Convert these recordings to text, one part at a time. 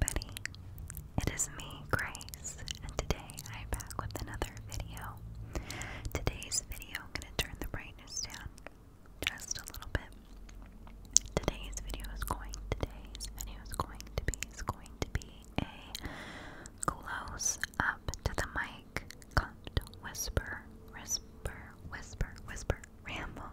everybody, it is me, Grace, and today I'm back with another video. Today's video, I'm going to turn the brightness down just a little bit. Today's video is going, today's video is going to be, is going to be a close up to the mic, cupped whisper, whisper, whisper, whisper, ramble.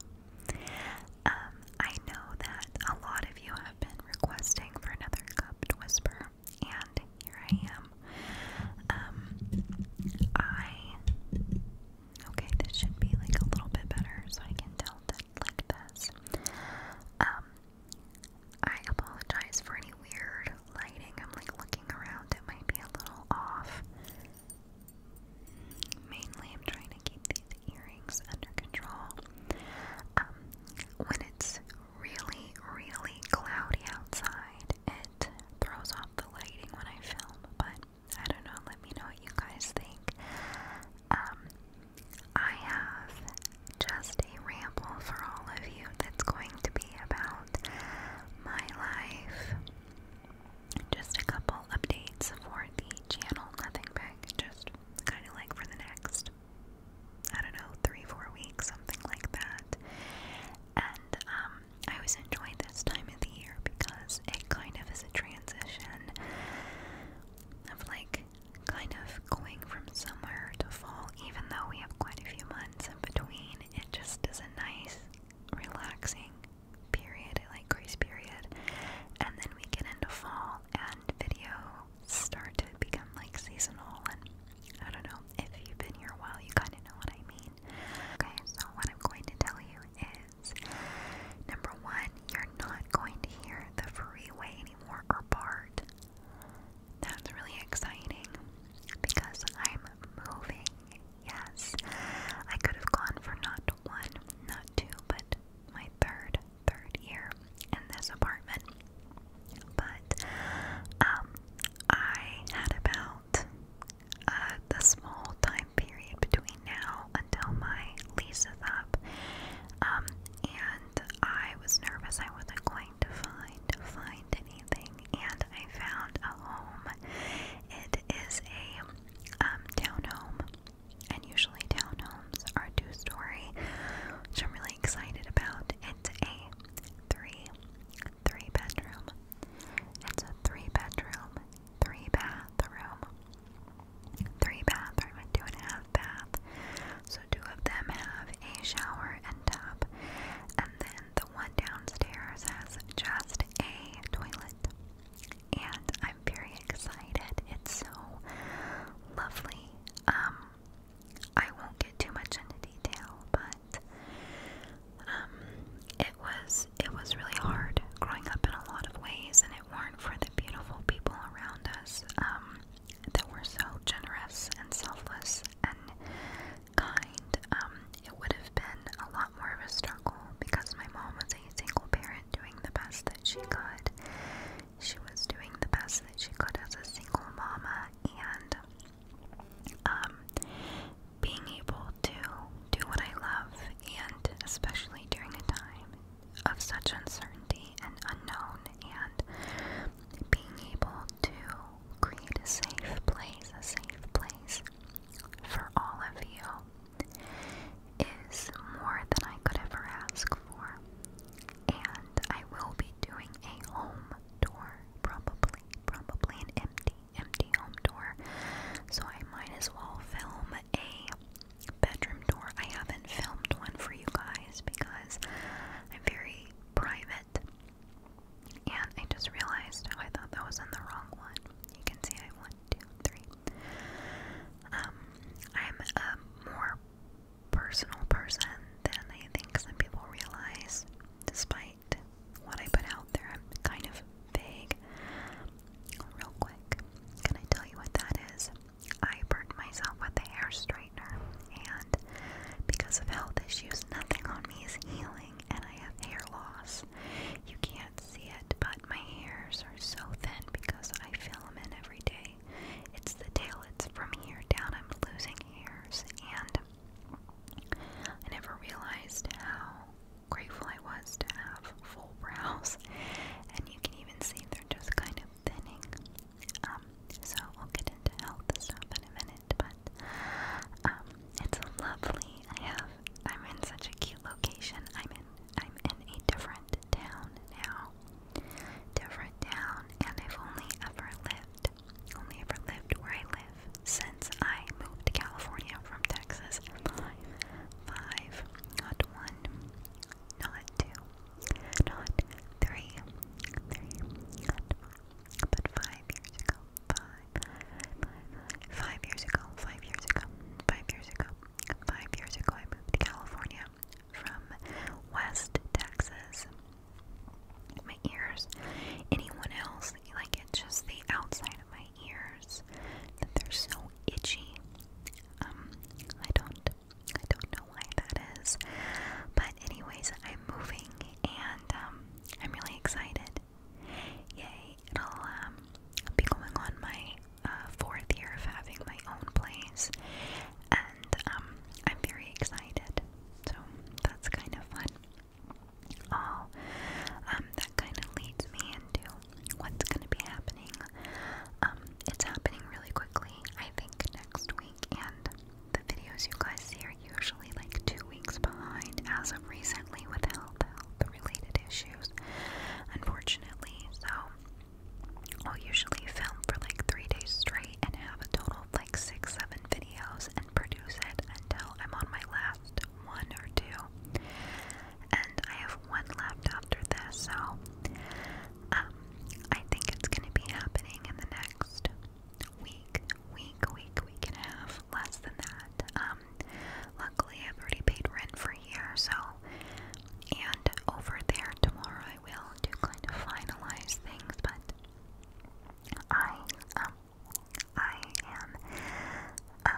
Um, I know that a lot of you been requesting for another cupped whisper, and here I am. Um, I okay, this should be like a little bit better, so I can tell that like this. Um, I apologize for any weird lighting. I'm like looking around; it might be a little off. Mainly, I'm trying keep these earrings under control. Um, when it's really, really cloudy outside, it throws off the lighting when I film, but I don't know, let me know what you guys think. Um, I have just a ramble for all of you that's going to be about my life. Just a couple updates for the channel, nothing big, just kind of like for the next, I don't know, three, four weeks, something like that. And um, I always enjoy this time of the year because it kind of is a transition of like kind of going from summer to fall, even though we have quite a few months in between. It just is a nice, relaxing period, like grace period. And then we get into fall and video start to become like seasonal and I don't know, if you've been here a while you kinda know what I mean. Okay, so what I'm going to tell you is number one, you're not going to hear the freeway anymore or BART. That's really exciting because I'm moving. Yes. I could have gone for not one, not two, but my third third year in this apartment. But um, I had about uh, the small time period between now until my lease is up, um, and I was nervous I wasn't going to find find anything, and I found a home. It is a um, townhome and usually townhomes are two story, so I'm really excited about. It's a three, three bedroom. It's a three bedroom, three bathroom, three bathroom, and two and a half bath. So two of them have a shower and tub, and then the one downstairs has just a toilet and I'm very excited. It's so lovely. Um, I won't get too much into detail, but um, it was it was really hard growing up in a lot of ways, and it weren't for the beautiful people around us um, that were so generous and selfless and kind. it would have been a lot more of a struggle because my mom was a single parent doing the best that she could. She was doing the best that she could as a single mama and um, being able to do what I love, and especially during a time of such uncertainty and unknown, and being able to create a safe place, a safe place for all of you is more than I could ever ask for. And I will be doing a home tour, probably, probably an empty, empty home tour. So I might as well film a bedroom door. I haven't filmed one for you guys because I'm very private. And I just realized, I thought that was in the wrong one. You can see I have one, two, three, um, I'm a more personal person than I think some people realize. Despite what I put out there, I'm kind of vague. Real quick, can I tell you what that is? I burned myself with a hair straightener, and because of health issues, nothing on me is healing, and I have hair loss. You can't see it, but my hairs are so thin because I fill them in every day. It's the tail, it's from here down. I'm losing hairs, and I never realized how grateful I was to have full brows. And you can even see they're just kind of thinning. Um, so we'll get into health stuff in a minute, but um, it's lovely. I have. I'm in such a cute location. I'm in I'm in a different town now. Different town, and I've only ever lived, only ever lived where I live since I moved to California from Texas. Five, not one, not two, not three, not four, but five years ago, five, five, five, five years ago, five years ago, five years ago, Five years ago, I moved to California from West Texas. My ears, anyone else, like it's just the outside of my ears that they're so itchy. Um, I don't, I don't know why that is, but anyways, I'm moving and um, I'm really excited. Yay! It'll um, be going on my uh, fourth year of having my own place, and um, I'm very excited. So that's kind of fun. Oh, that kind of leads me into what's going to be happening. Um, it's happening really quickly, I think, next week, and the videos you guys see are usually like two weeks behind as of recently with health, health, related issues, unfortunately. So I'll usually film for like three days straight and have a total of like six, seven videos and produce it until I'm on my last one or two. And I have one left after this, so um, I think it's going to be happening in the next week, week, week, week and a half, less than that. Um, Luckily, I've already paid rent for a year. so. And over there tomorrow, I will do kind of finalize things, but I, um, I am uh,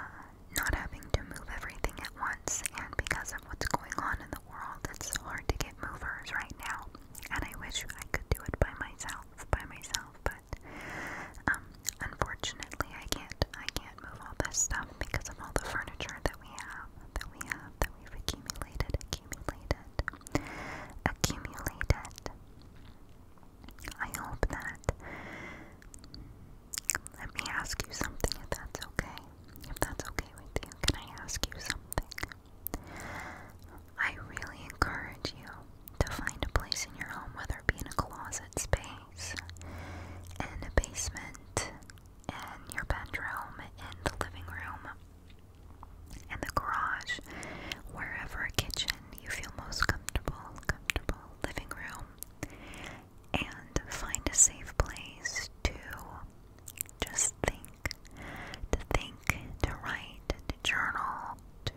not having to move everything at once, and because of what's going on in the world, it's hard to get movers right now. And I wish I could do it by myself, by myself, but um, unfortunately, I can't. I can't move all this stuff because of all the furniture that we have, that we have, that we've accumulated, accumulated, accumulated. I hope that. Let me ask you something if that's okay. If that's okay with you, can I ask you something? I really encourage you to find a place in your home, whether it be in a closet space in the basement, in your bedroom, in the living room, in the garage, wherever kitchen you feel most comfortable, comfortable living room, and find a safe place to just think, to think, to write, to journal, to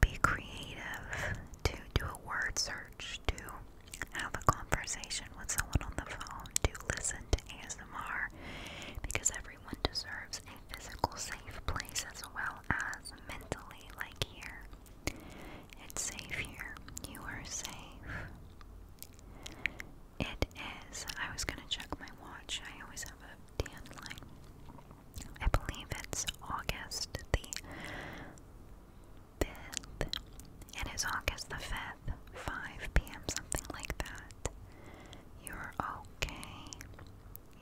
be creative, to do a word search, to have a conversation with someone on the phone to listen to ASMR because everyone deserves a physical safe place as well as mentally, like here. It's safe here. You are safe. It is. I was gonna check my watch. I always have a tan line. I believe it's August the 5th. It is August the 5th, 5 p.m., something like that. You're okay.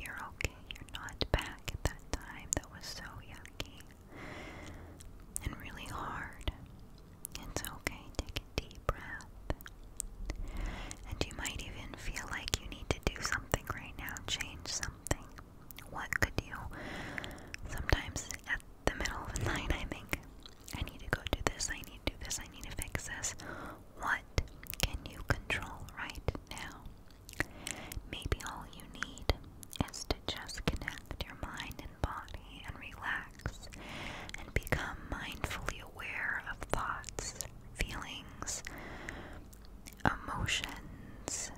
You're okay. You're not back at that time. That was so yucky and really hard. It's okay. Take a deep breath. And you might even feel like you need to do something right now, change something. What could you? Sometimes at the middle of the night, I think, I need to go do this, I need to do this, I need to fix this. What can you control right now? Maybe all you need is to just connect your mind and body and relax and become mindfully aware of thoughts, feelings, emotions,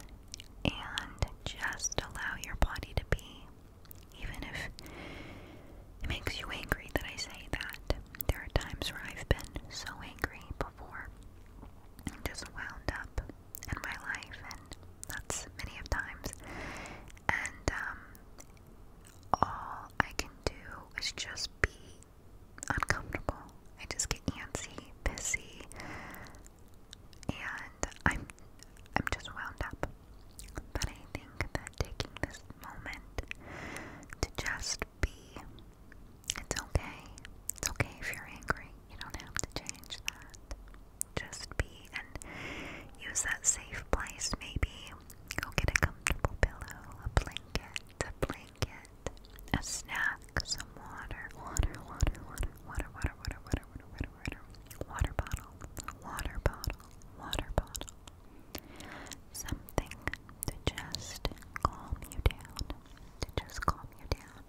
and just allow your body to be. Even if it makes you angry that I say that, there are times where I've been so angry before, and just wound up in my life, and that's many of times. And um, all I can do is just be uncomfortable. I just get antsy, pissy and I'm I'm just wound up. But I think that taking this moment to just be it's okay. It's okay if you're angry. You don't have to change that. Just be and use that safe place maybe. Go get a comfortable pillow, a blanket, a blanket, a snack, some water, water, water, water, water, water, water, water, water, water, water, water bottle, water bottle, water bottle. Something to just calm you down, to just calm you down.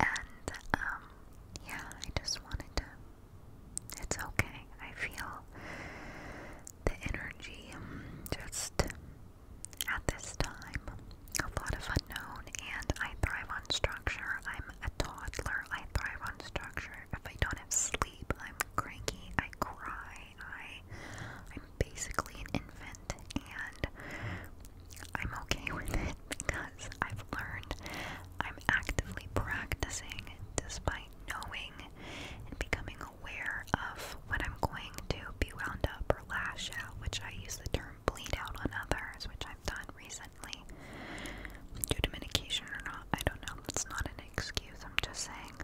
And, um, yeah, I just wanted to. It's okay. I feel the energy um, just at this time, a lot of unknown, and I thrive on structure. I'm a toddler. I thrive on structure. If I don't have sleep, I'm cranky. I cry. I, I'm basically an infant, and I'm okay with it because I've learned I'm actively practicing despite knowing and becoming aware of when I'm going to be wound up or lash out, which I use the term bleed out on others, which I've done recently due to medication or not. I don't know. It's not an excuse. I'm just saying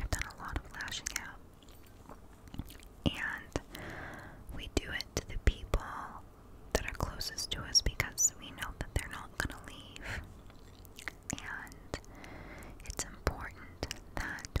I've done a lot of lashing out. And we do it to the people that are closest to us because we know that they're not going to leave. And it's important that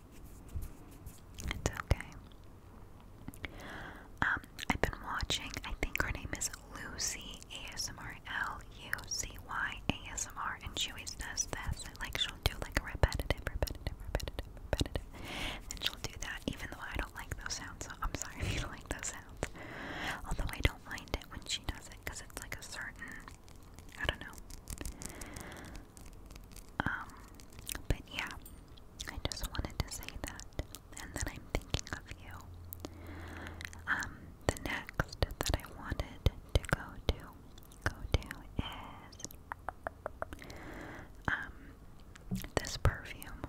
It's okay. Um, I've been watching, I think her name is Lucy ASMR, L U C Y ASMR, and she always does this. Like, she'll do like a repetitive, repetitive, repetitive, repetitive. And she'll do that, even though I don't like those sounds. So I'm sorry if you don't like those sounds. Although I don't mind it when she does it because it's like a certain, I don't know. Um, but yeah, I just wanted to say that, and then I'm thinking of you. Um, the next that I wanted to go to, go to is, um, this perfume.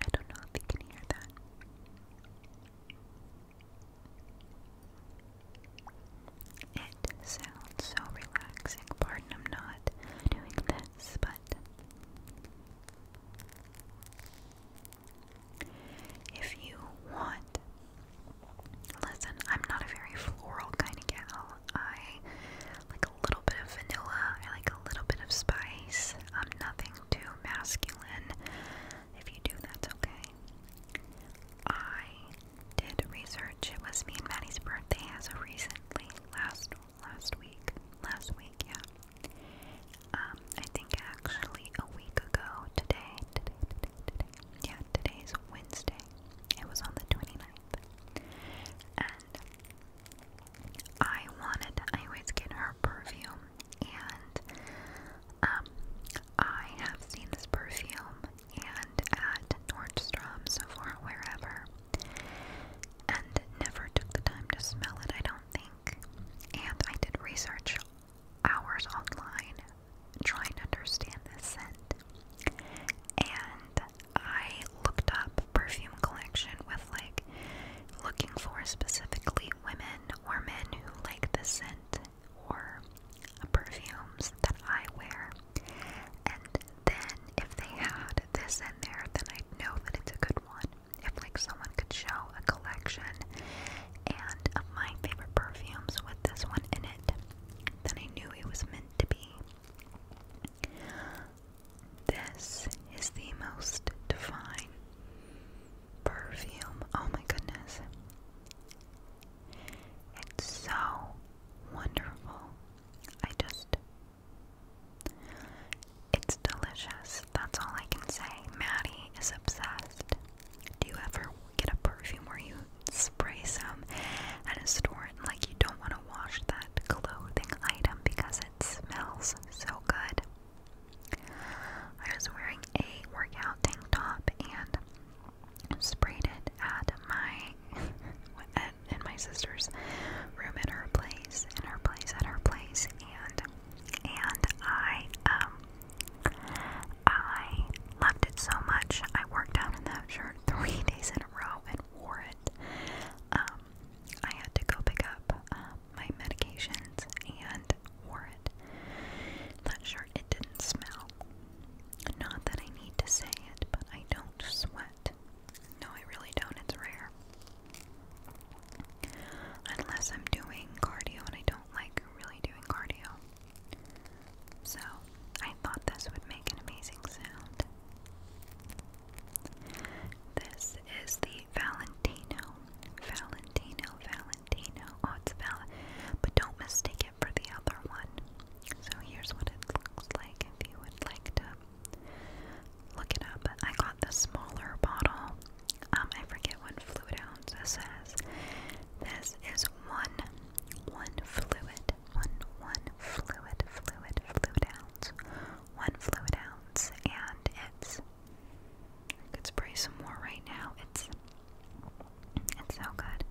I don't know if you can hear that. It sounds so relaxing. Pardon, I'm not doing this, but if you want, listen, I'm not a very floral kind of gal. I like a little bit of vanilla, I like a little bit of spice. I'm nothing too masculine. If you do, that's okay. I did research. It was me and Maddie's birthday as of recently, last last week, last week, yeah. Um, I think actually a week ago today, Yeah, today's Wednesday. It was on the 29th. And I wanted, I always get her perfume and um, I have seen this perfume and at Nordstrom, Sephora, wherever, and never took the time to smell it, I don't think. And I did research hours online trying to understand this scent. And I looked up perfume collection with like looking for specifically women or men who like the scent or perfumes that I wear. And then if they had this in there, then I'd know that it's a good one. If like someone could show a collection and of my favorite perfumes with this one in it, then I knew it was meant to be. This is the most divine perfume. Oh my goodness. It's so wonderful. I just. It's delicious. That's all I can say. Maddie is obsessed. Do you ever get a perfume where you spray some at a store and like you don't want to wash that clothing item because it smells so good? I was wearing a workout tank top and sprayed it at my at, my sister's room at her place, in her place, at her place, and and I um I loved it so much. I worked out in that shirt three days in a row and wore it. Um, I had to go pick up um, my medications and wore it. Not sure it didn't smell. Not that I need to say it, but I don't sweat. No, I really don't. It's rare. Unless I'm doing cardio and I don't like really doing cardio. So, I thought this would make an amazing sound. This is the Valentino. Valentino, Valentino. Oh, it's Val. But don't mistake it for the other one. So here's what it looks like if you would like to look it up. I got the smaller bottle. Um, I forget what fluid ounce this says. This is one, one fluid, one, one fluid, fluid, fluid ounce, one fluid ounce, and it's I could spray some more right now. It's it's so good.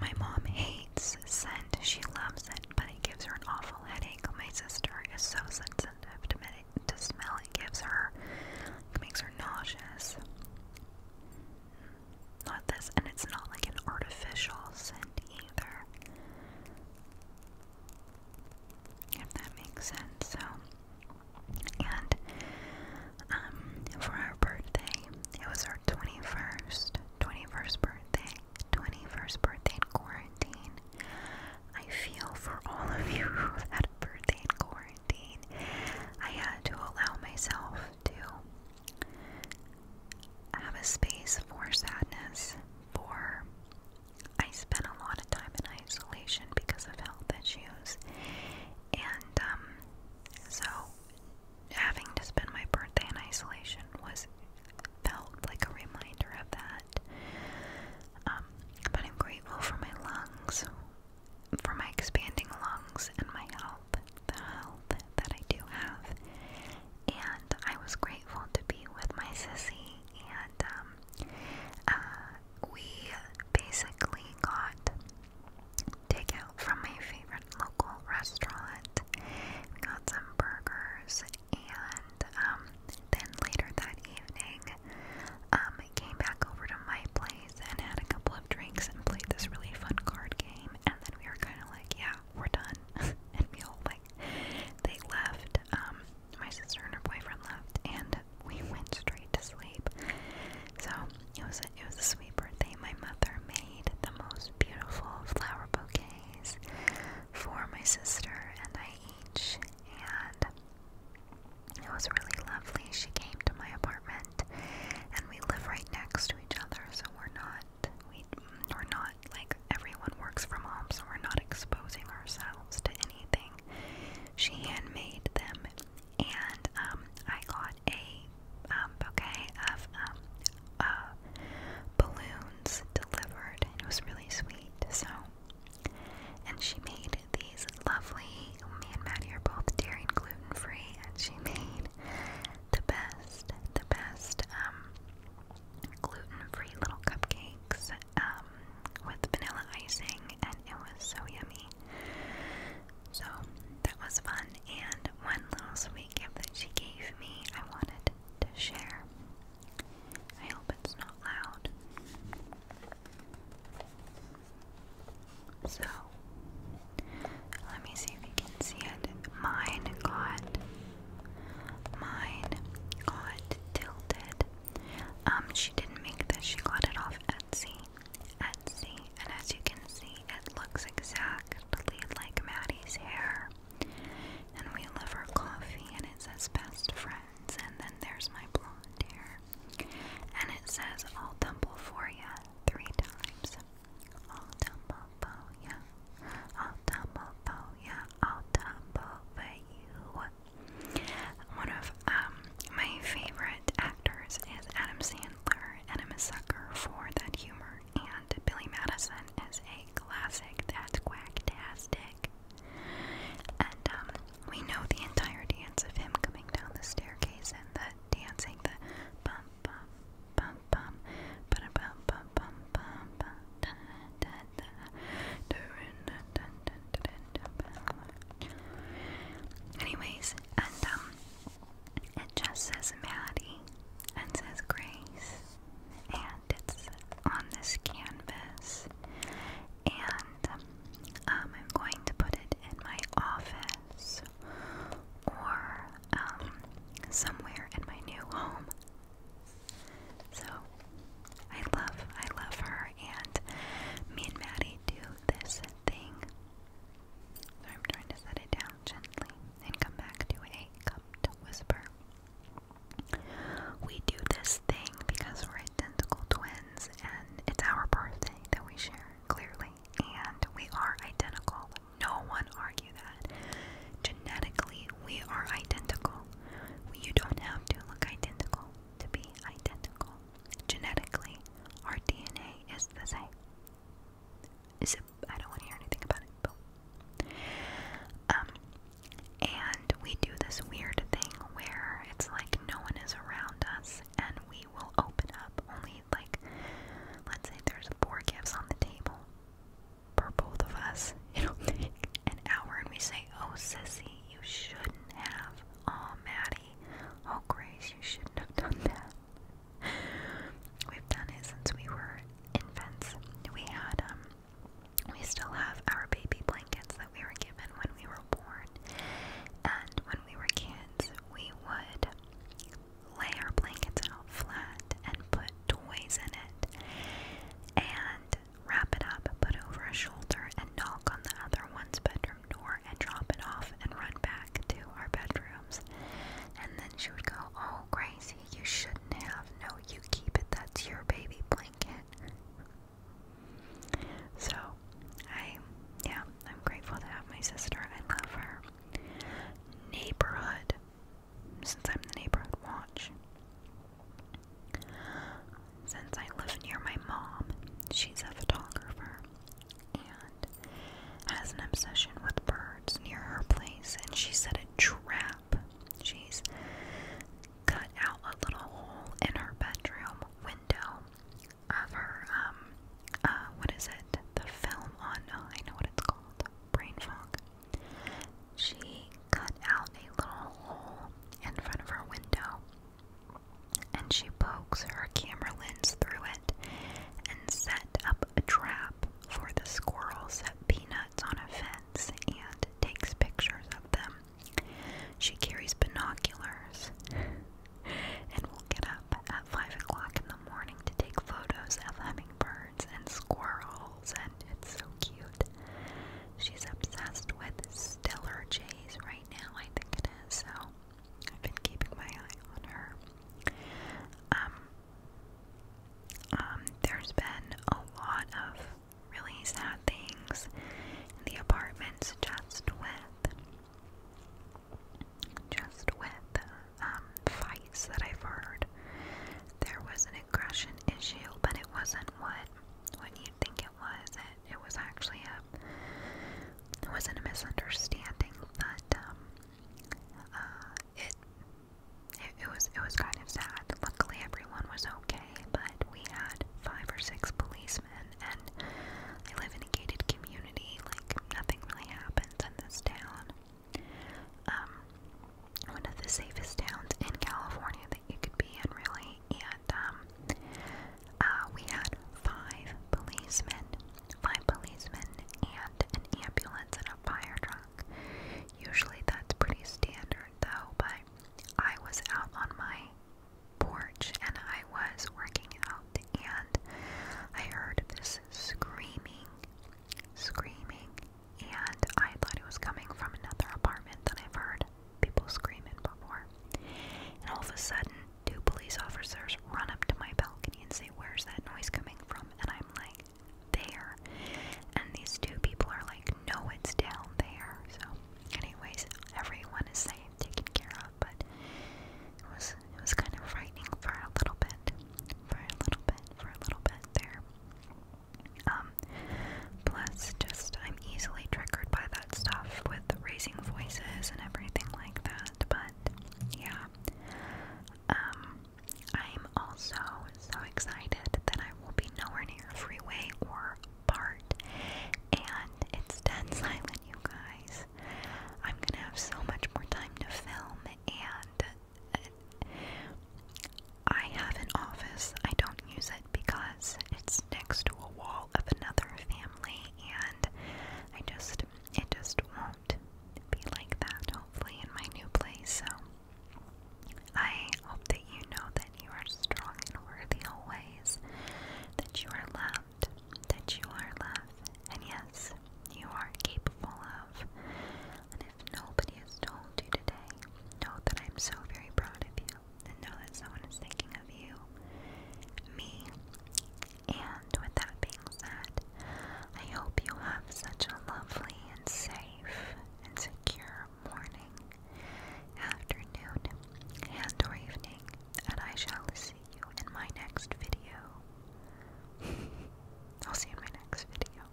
My mom hates scent. She loves it, but it gives her an awful headache. My sister is so sensitive to, med to smell. It gives her, it makes her nauseous. Not this, and it's not like an artificial scent either. If that makes sense, so and um, for our birthday, it was our 21st, 21st birthday, 21st birthday in quarantine. I feel for all of you who a birthday in quarantine. I had to allow myself to have a space for sadness, for I spent a lot of time in isolation because of health issues, and um, so having to spend my birthday in isolation was felt like a reminder of that. Um, but I'm grateful for my lungs, for my expanding lungs, and my health, the health that I do have. And I was grateful to be with my sissy, and um, uh, we basically got takeout from my favorite local restaurant. We got some burgers, and um, then later that evening, um, came back over to my place and had a couple of drinks and played this really fun card game. And then we were kind of like, yeah, we're done. and we like, they left. Um, my sister and her boyfriend left, and we went straight to sleep. So it was a, it was a sweet birthday. My mother made the most beautiful flower bouquets for my sister and I each, and it was really lovely. She came to my apartment, and we live right next to each other, so we're not we we're not like everyone works from home, so we're not exposing ourselves to anything. She handmade them, and um, I got a um, bouquet of um, uh, balloons delivered. And it was really sweet. So, and she made these lovely. Me and Maddie are both dairy and gluten free, and she made the best, the best um, gluten free little cupcakes. Um, um, with vanilla icing, and it was so yummy. So that was fun. And one little sweet gift that she gave me, I wanted to share. I hope it's not loud. So, let me see if you can see it. Mine got, mine got tilted um, she didn't make this, she got it off Etsy. Etsy, and as you can see, it looks exactly like Maddie's hair. And we love her coffee, and it says best friends, and then there's my blonde hair. And it says, I'll tumble for ya three times. I'll tumble for ya. I'll tumble for ya. I'll tumble for you. One of um, my favorite actors is Adam Sandler, and I'm a sucker for that humor. And Billy Madison is a classic that's quacktastic. And um, we know the entire dance of him coming down the staircase and the dancing, the bum bum bum bum, ba da bum bum bum bum, bum da da Anyways, and um, it says Maddie and says Grace, and it's on this canvas, and um, I'm going to put it in my office or um, somewhere in my new home. So I love, I love her, and me and Maddie do this thing. So I'm trying to set it down gently and come back to a cupped whisper. We do this thing because we're identical twins, and it's our birthday that we share clearly, and we are identical. No one argue that. Genetically, we are identical. You don't have to look identical to be identical. Genetically, our DNA is the same. So I don't want to hear anything about it. Um, and we do this weird thing where it's like no one is around us, and we will open up only like, let's say there's four gifts on the table for both of us an hour and we say, Oh, sissy, you shouldn't have. Oh, Maddie. Oh, Grace, you shouldn't have done that. We've done it since we were infants. We had, um, we still have our baby blankets that we were given when we were born. And when we were kids, we would lay our blankets out flat and put toys in it. And wrap it up, put over a shoulder, and knock on the other one's bedroom door and drop it off and run back to our bedrooms. And then she would go, Oh, Gracie, you shouldn't have. No, you keep it. That's your baby blanket. So, I, yeah, I'm grateful to have my sister. I love her. Neighborhood, since I'm the neighborhood watch. Since I live near my mom, she's a photographer and has an obsession with birds near her place, and she set a trap. She's cut out a little hole in her bedroom window of her, um, uh, what is it? The film on, I know what it's called, Brain Fog she cut out a little hole in front of her window and she pokes her camera lens through it and sets up a trap for the squirrels that peanuts on a fence and takes pictures of them. She carries binoculars and will get up at 5 o'clock in the morning to take photos of hummingbirds and squirrels it's so cute. She's obsessed with Stellar J's right now, I think it is, so I've been keeping my eye on her. Um, um, there's been a lot of really sad things in the apartments just with just with um, fights that I've heard. There was an aggression issue, but it wasn't what what you'd think it was. It it was actually a it wasn't a misunderstanding, but um, uh, it, it it was it was kind of sad. Luckily, everyone was okay, but we had five or six policemen, and I live in a gated community. Like nothing really happens in this town. Um, one of the safest towns in California that you could be in, really. And um, uh, we had five policemen, five policemen, and an ambulance and a fire truck. Usually that's pretty standard, though. But I was out on my porch and I was working out, and I heard this screaming, screaming, and I thought it was coming from another apartment that I've heard people screaming before. And all of a sudden, two police officers run up to my balcony and say, Where's that noise coming from? And I'm like, There. And these two people are like, No, it's down there. So, anyways, everyone is safe, taken care of, but it was it was kind of frightening for a little bit, for a little bit, for a little bit there. Um, plus, just I'm easily triggered by that stuff with raising voices and everything like that. But yeah, um, I'm also so excited that I will be nowhere near a freeway or part, and it's dead silent, you guys. I'm gonna have so much more time to film and. Uh, I have an office. I don't use it because it's next to a wall of another family and I just it just won't be like that hopefully in my new place. So I hope that you know that you are strong and worthy always, that you are loved, that you are loved, and yes, you are capable of and if nobody has told you today, know that I'm so very proud of you and know that someone is thinking of you, me. And with that being said, I hope you have such a lovely and safe and secure morning, afternoon, and or evening, and I shall see you in my next video. I'll see you in my next video.